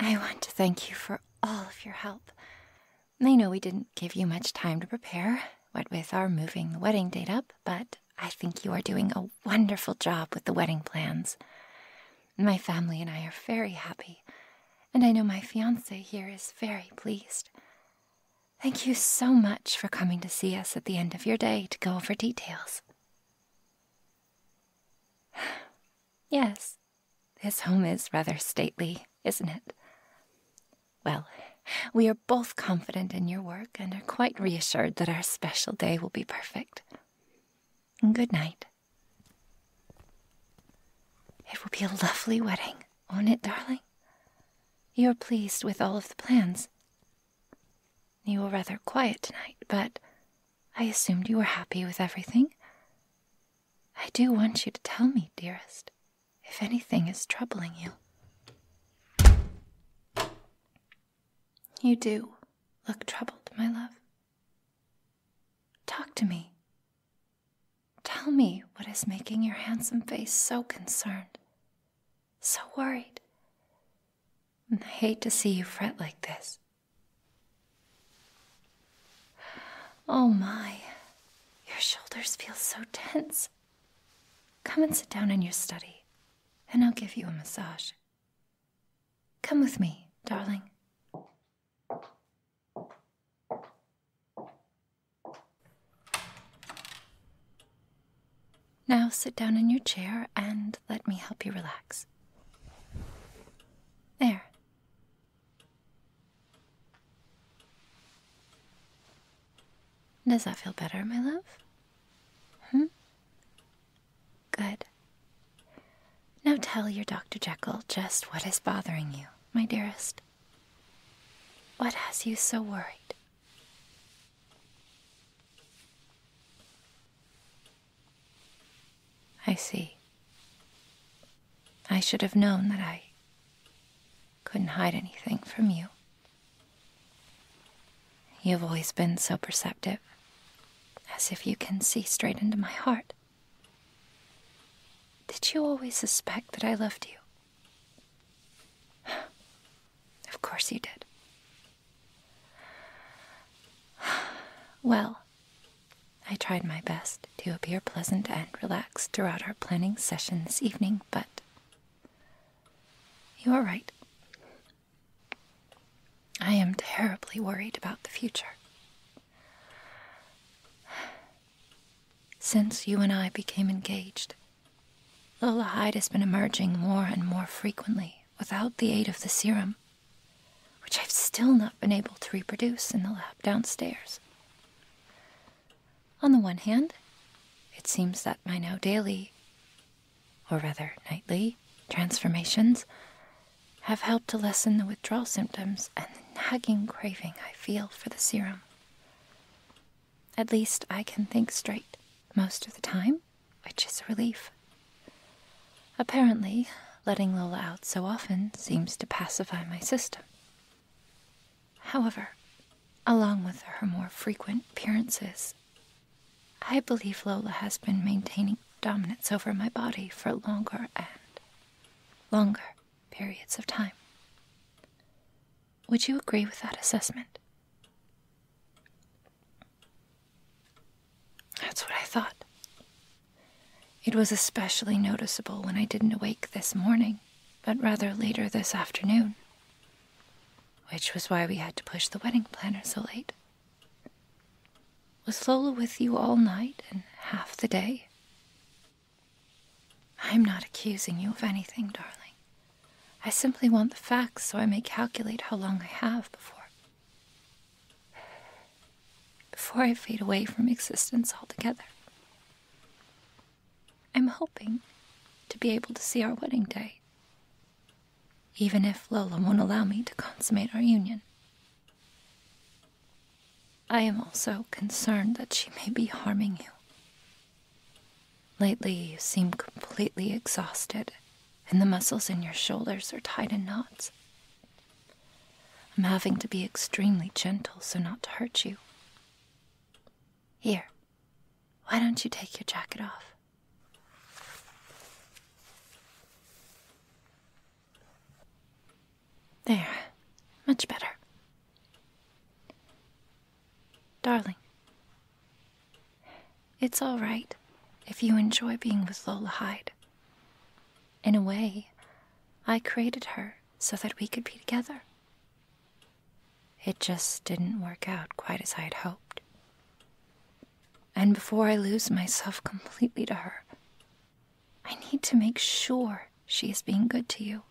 I want to thank you for all of your help. I know we didn't give you much time to prepare, what with our moving the wedding date up, but I think you are doing a wonderful job with the wedding plans. My family and I are very happy, and I know my fiance here is very pleased. Thank you so much for coming to see us at the end of your day to go over details yes, this home is rather stately, isn't it? Well, we are both confident in your work and are quite reassured that our special day will be perfect. Good night. It will be a lovely wedding, won't it, darling? You're pleased with all of the plans. You were rather quiet tonight, but I assumed you were happy with everything. I do want you to tell me, dearest, if anything is troubling you. You do look troubled, my love. Talk to me. Tell me what is making your handsome face so concerned, so worried. I hate to see you fret like this. Oh my, your shoulders feel so tense. Come and sit down in your study, and I'll give you a massage. Come with me, darling. Now sit down in your chair and let me help you relax. There. Does that feel better, my love? Hmm? Good. Now tell your Dr. Jekyll just what is bothering you, my dearest. What has you so worried? I see. I should have known that I couldn't hide anything from you. You've always been so perceptive, as if you can see straight into my heart. Did you always suspect that I loved you? of course you did. Well, I tried my best to appear pleasant and relaxed throughout our planning session this evening, but you are right. I am terribly worried about the future. Since you and I became engaged, Lola Hyde has been emerging more and more frequently without the aid of the serum, which I've still not been able to reproduce in the lab downstairs. On the one hand, it seems that my now daily, or rather nightly, transformations have helped to lessen the withdrawal symptoms and the nagging craving I feel for the serum. At least I can think straight most of the time, which is a relief. Apparently, letting Lola out so often seems to pacify my system. However, along with her more frequent appearances, I believe Lola has been maintaining dominance over my body for longer and longer periods of time. Would you agree with that assessment? That's what I thought. It was especially noticeable when I didn't awake this morning, but rather later this afternoon, which was why we had to push the wedding planner so late. Was Lola with you all night and half the day? I'm not accusing you of anything, darling. I simply want the facts so I may calculate how long I have before before I fade away from existence altogether. I'm hoping to be able to see our wedding day, even if Lola won't allow me to consummate our union. I am also concerned that she may be harming you. Lately, you seem completely exhausted and the muscles in your shoulders are tied in knots. I'm having to be extremely gentle so not to hurt you. Here, why don't you take your jacket off? There, much better. Darling, it's all right if you enjoy being with Lola Hyde. In a way, I created her so that we could be together. It just didn't work out quite as I had hoped. And before I lose myself completely to her, I need to make sure she is being good to you.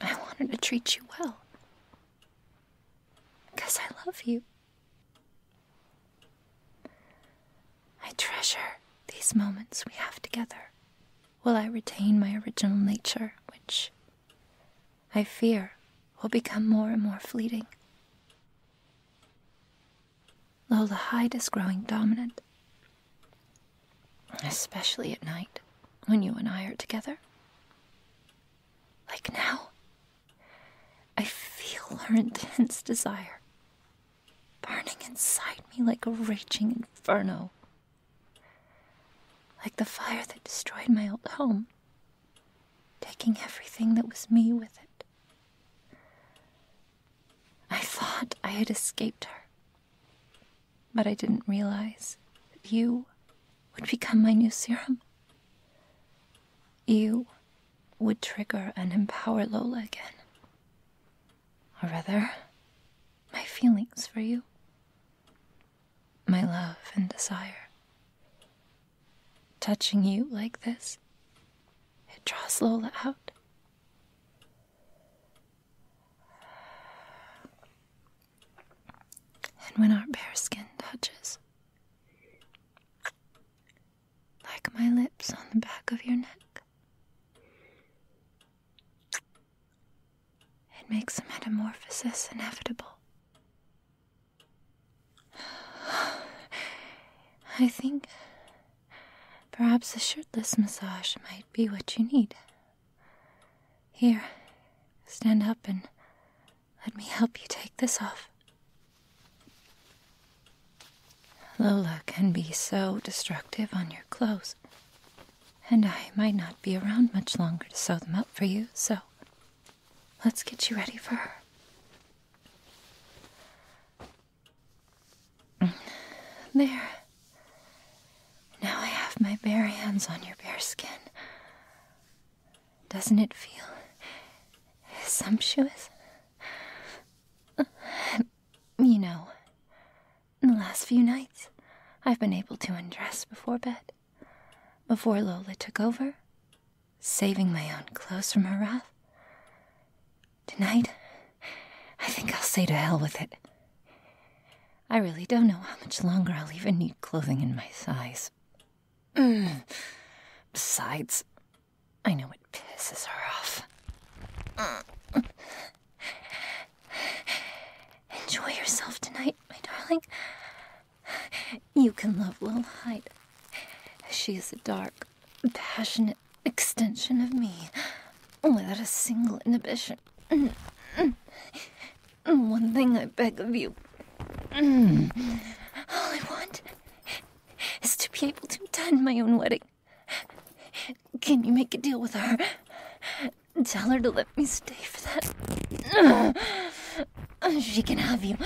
I want her to treat you well. Because I love you. I treasure these moments we have together Will I retain my original nature, which I fear will become more and more fleeting. Lola Hyde is growing dominant, especially at night when you and I are together. Like now, I feel her intense desire burning inside me like a raging inferno. Like the fire that destroyed my old home, taking everything that was me with it. I thought I had escaped her, but I didn't realize that you would become my new serum. You would trigger and empower Lola again. Or rather, my feelings for you, my love and desire. Touching you like this, it draws Lola out and when our bare skin touches, like my lips on the back of your neck, it makes a metamorphosis inevitable. I think perhaps a shirtless massage might be what you need. Here, stand up and let me help you take this off. Lola can be so destructive on your clothes. And I might not be around much longer to sew them up for you, so let's get you ready for her. Mm. There. Now I have my bare hands on your bare skin. Doesn't it feel sumptuous? You know, in the last few nights, I've been able to undress before bed, before Lola took over, saving my own clothes from her wrath. Tonight, I think I'll say to hell with it. I really don't know how much longer I'll even need clothing in my size. Besides, I know it pisses her off. Enjoy yourself tonight, my darling. You can love Lil Hyde. She is a dark, passionate extension of me, without a single inhibition. Mm, one thing I beg of you. Mm. All I want is to be able to attend my own wedding. Can you make a deal with her? Tell her to let me stay for that. She can have you.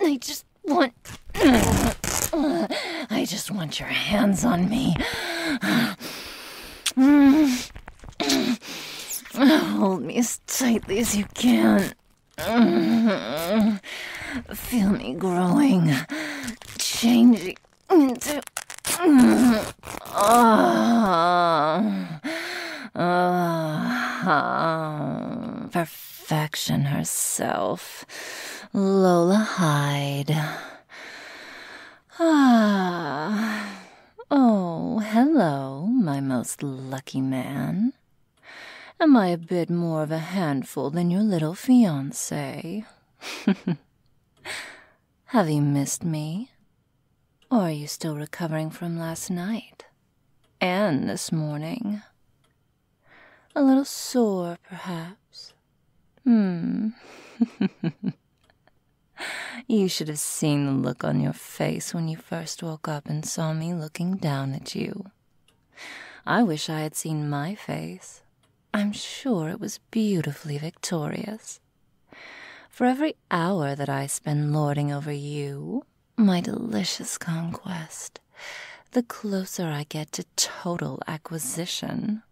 I just want. I just want your hands on me. Hold me as tightly as you can. Feel me growing, changing into. perfection herself, Lola Hyde. Ah, Oh, hello, my most lucky man. Am I a bit more of a handful than your little fiancé? Have you missed me? Or are you still recovering from last night? And this morning? A little sore, perhaps? Hmm. you should have seen the look on your face when you first woke up and saw me looking down at you. I wish I had seen my face. I'm sure it was beautifully victorious. For every hour that I spend lording over you, my delicious conquest, the closer I get to total acquisition,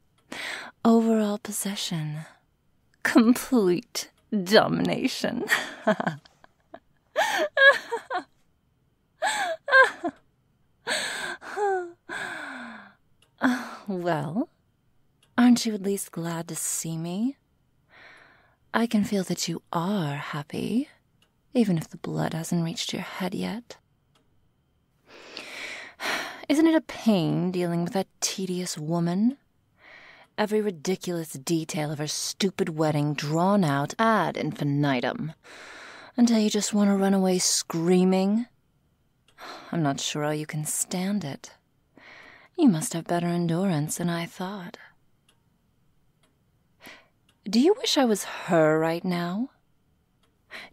overall possession, complete domination. well, aren't you at least glad to see me? I can feel that you are happy, even if the blood hasn't reached your head yet. Isn't it a pain dealing with that tedious woman? Every ridiculous detail of her stupid wedding drawn out ad infinitum until you just want to run away screaming. I'm not sure how you can stand it. You must have better endurance than I thought. Do you wish I was her right now?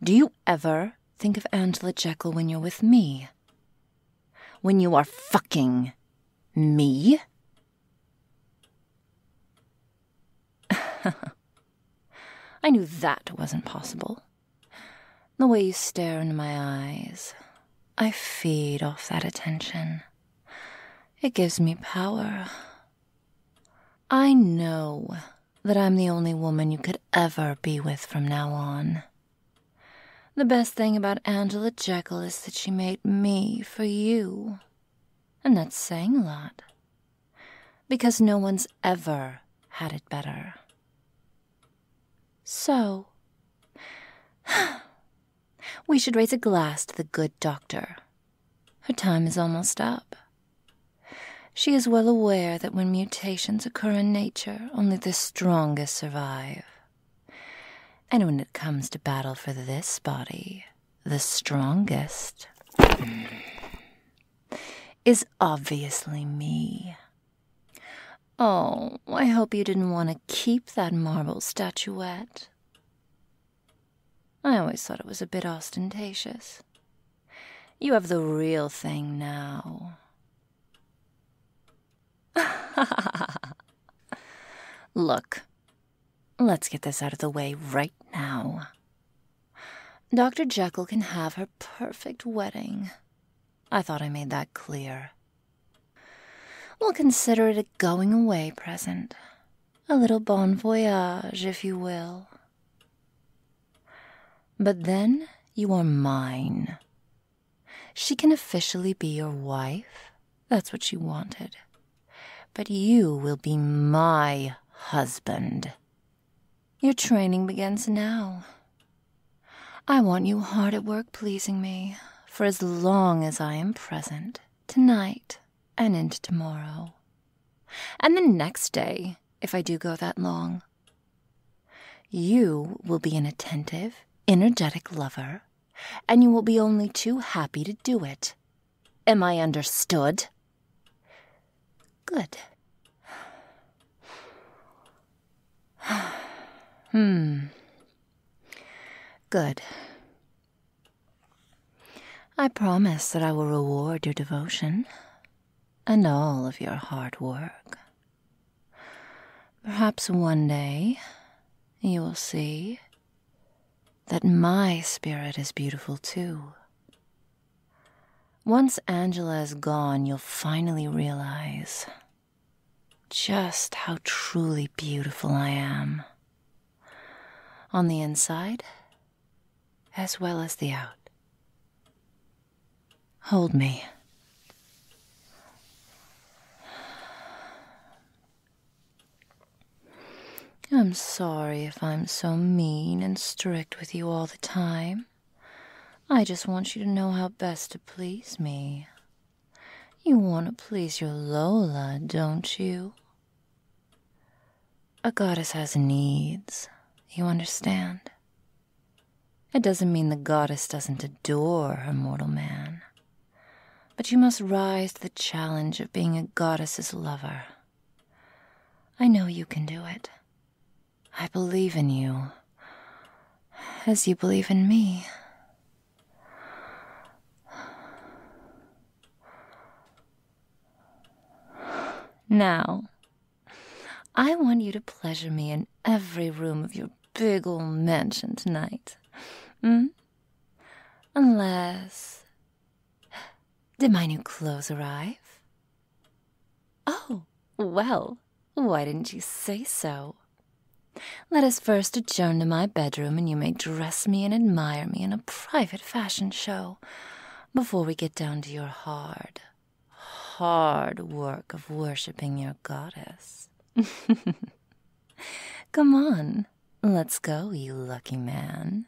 Do you ever think of Angela Jekyll when you're with me? When you are fucking me? I knew that wasn't possible. The way you stare into my eyes, I feed off that attention. It gives me power. I know that I'm the only woman you could ever be with from now on. The best thing about Angela Jekyll is that she made me for you. And that's saying a lot. Because no one's ever had it better. So, we should raise a glass to the good doctor. Her time is almost up. She is well aware that when mutations occur in nature, only the strongest survive. And when it comes to battle for this body, the strongest is obviously me. Oh, I hope you didn't want to keep that marble statuette. I always thought it was a bit ostentatious. You have the real thing now. Look, let's get this out of the way right now. Dr. Jekyll can have her perfect wedding. I thought I made that clear. We'll consider it a going away present, a little bon voyage, if you will. But then you are mine, she can officially be your wife. That's what she wanted. But you will be my husband. Your training begins now. I want you hard at work pleasing me for as long as I am present, tonight and into tomorrow. And the next day, if I do go that long. You will be an attentive, energetic lover and you will be only too happy to do it. Am I understood? Good. hmm. Good. I promise that I will reward your devotion and all of your hard work. Perhaps one day you will see that my spirit is beautiful too. Once Angela is gone, you'll finally realize just how truly beautiful I am. On the inside, as well as the out. Hold me. I'm sorry if I'm so mean and strict with you all the time. I just want you to know how best to please me. You want to please your Lola, don't you? A goddess has needs, you understand? It doesn't mean the goddess doesn't adore her mortal man but you must rise to the challenge of being a goddess's lover. I know you can do it. I believe in you, as you believe in me. Now, I want you to pleasure me in every room of your big old mansion tonight. Mm? Unless. Did my new clothes arrive? Oh, well, why didn't you say so? Let us first adjourn to my bedroom and you may dress me and admire me in a private fashion show before we get down to your hard, hard work of worshipping your goddess. Come on, let's go, you lucky man.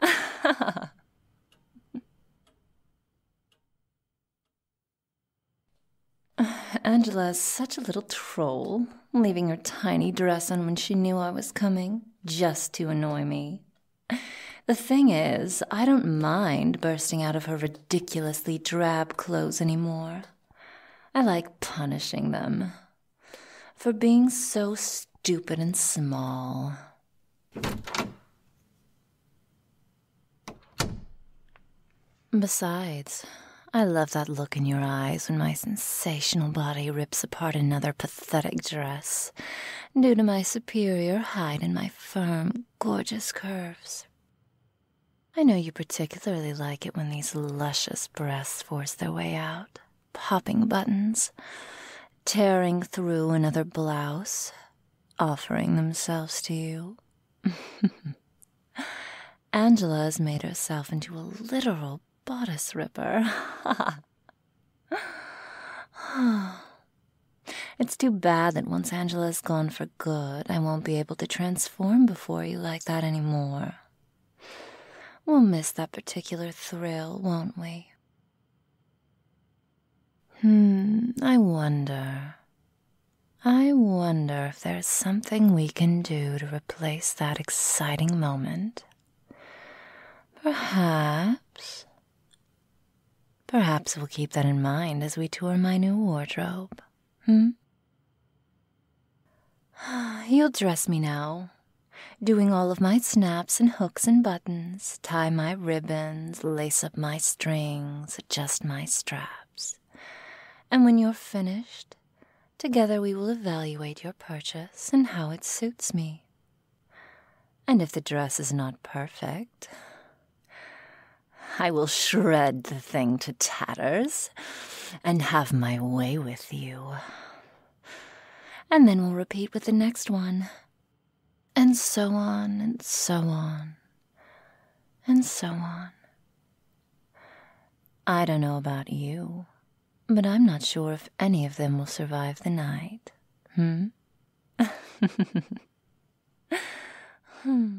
Angela's such a little troll, leaving her tiny dress on when she knew I was coming, just to annoy me. The thing is, I don't mind bursting out of her ridiculously drab clothes anymore. I like punishing them for being so stupid and small. Besides, I love that look in your eyes when my sensational body rips apart another pathetic dress due to my superior height and my firm, gorgeous curves. I know you particularly like it when these luscious breasts force their way out, popping buttons, tearing through another blouse, offering themselves to you. Angela has made herself into a literal bodice ripper. it's too bad that once Angela's gone for good, I won't be able to transform before you like that anymore. We'll miss that particular thrill, won't we? Hmm, I wonder. I wonder if there's something we can do to replace that exciting moment. Perhaps. Perhaps we'll keep that in mind as we tour my new wardrobe hmm? You'll dress me now. Doing all of my snaps and hooks and buttons, tie my ribbons, lace up my strings, adjust my straps. And when you're finished, together we will evaluate your purchase and how it suits me. And if the dress is not perfect, I will shred the thing to tatters and have my way with you. And then we'll repeat with the next one. And so on, and so on, and so on. I don't know about you, but I'm not sure if any of them will survive the night. hmm. hmm.